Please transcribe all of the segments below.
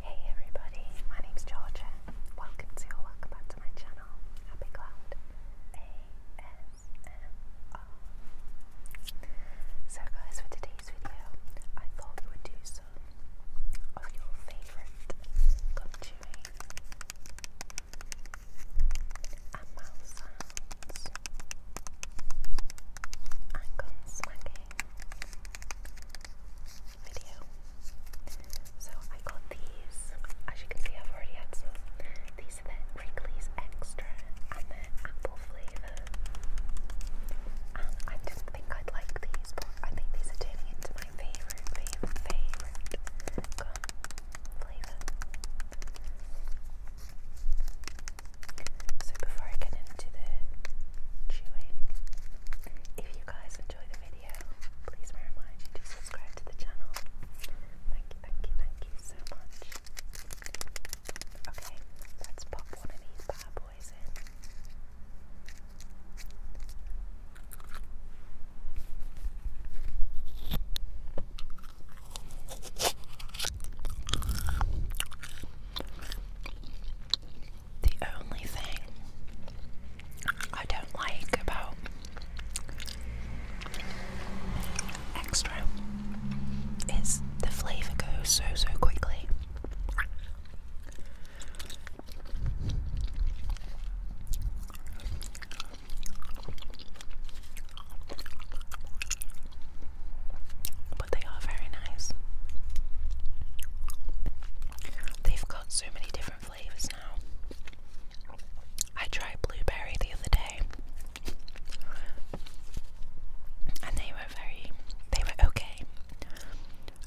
Hey everybody, my name's Georgia. Welcome to or welcome back to my channel, Happy Cloud ASMR. So guys, for today's video, I thought we would do some of your favourite gum and mouth sounds and gum smacking video. So I got these. As you can see, I've already had some. These are the Wrigley's Extra and they apple flavour. I didn't think I'd like these, but I think these are turning into my favourite, favourite, favourite flavour. So before I get into the chewing, if you guys enjoy the video, please may to subscribe to the channel. Thank you, thank you, thank you so much. Okay, let's pop one of these bad boys in. The only thing I don't like about extra is the flavor goes so so quickly. But they are very nice. They've got so many different flavours now. I tried blueberry the other day and they were very they were okay.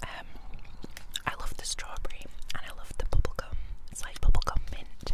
Um I love the strawberry and I love the bubblegum. It's like bubblegum mint.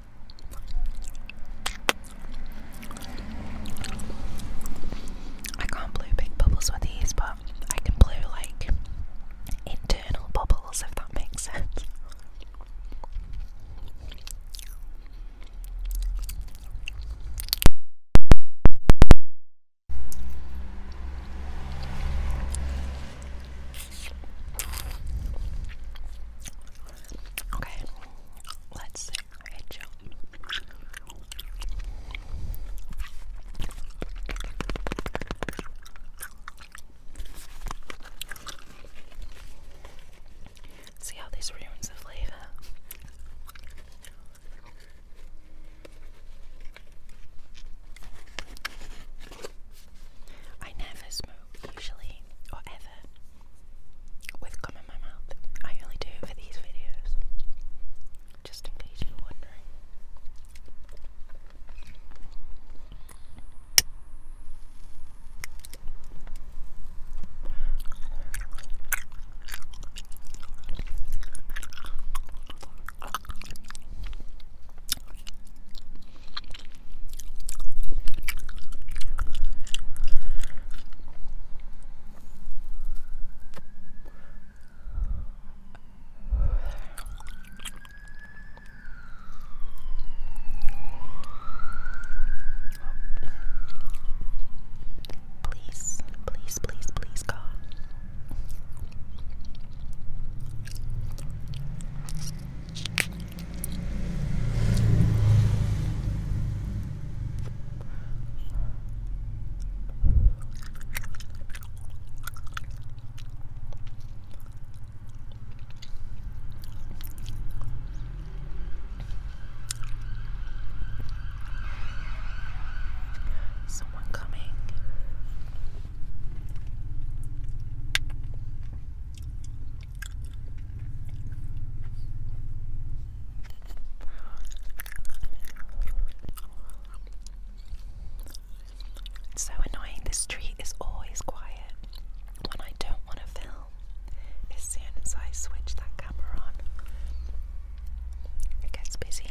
I can't blow big bubbles with these, but I can blow like internal bubbles if that makes sense. Okay, let's see. Hey, Joe. See how these ruins have flavor. I never smoke usually, or ever, with gum in my mouth. I only do it for these videos, just in case you're wondering. Please, please, please, please, God. Someone coming so annoying, the street is always quiet when I don't want to film. As soon as I switch that camera on, it gets busy.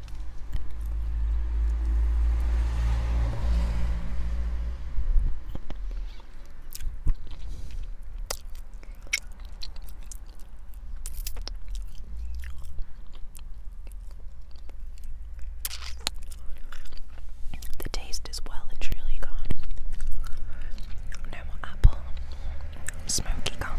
The taste is well and truly gone. No apple, smoky gum,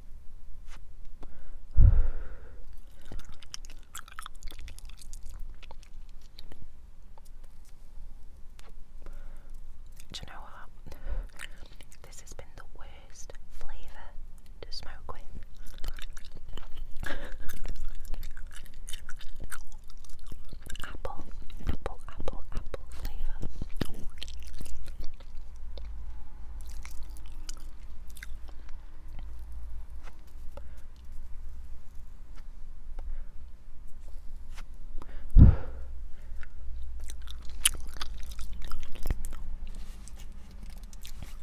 Do you know what? This has been the worst flavour to smoke with. Apple, apple, apple, apple flavour.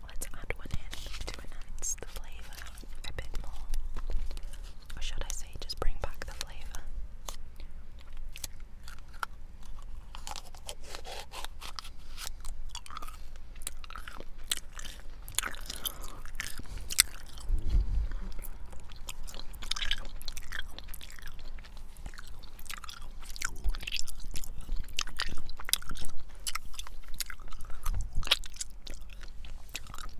Let's add one in to enhance the flavour a bit more. Or should I say, just bring back the flavour?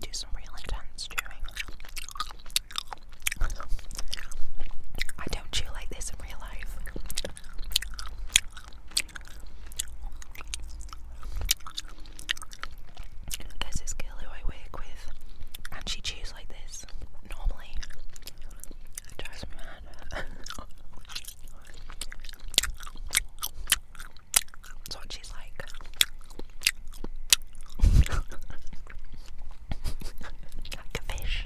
Do some real intense chewing. I don't chew like this in real life this girl who I work with, and she chews like this. Normally, That's what she's like. like a fish.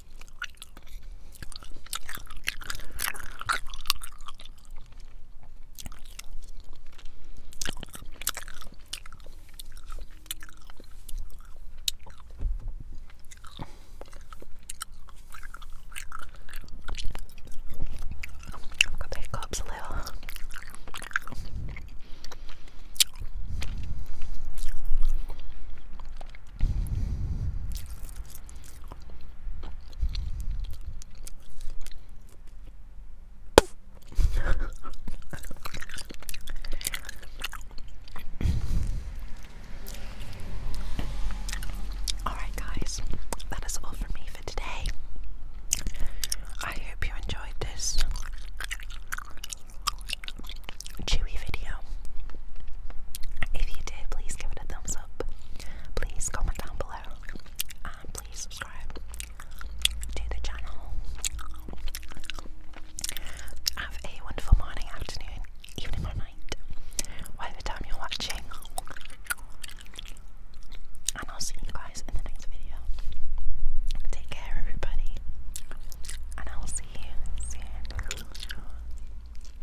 I've got big cups a little. Alright, guys, that is all from me for today. I hope you enjoyed this chewy video. If you did, please give it a thumbs up please comment down below and um, please subscribe to the channel. Have a wonderful morning, afternoon, evening, or night, whatever time you're watching. And I'll see you guys in the next video. Take care, everybody, and I will see you soon.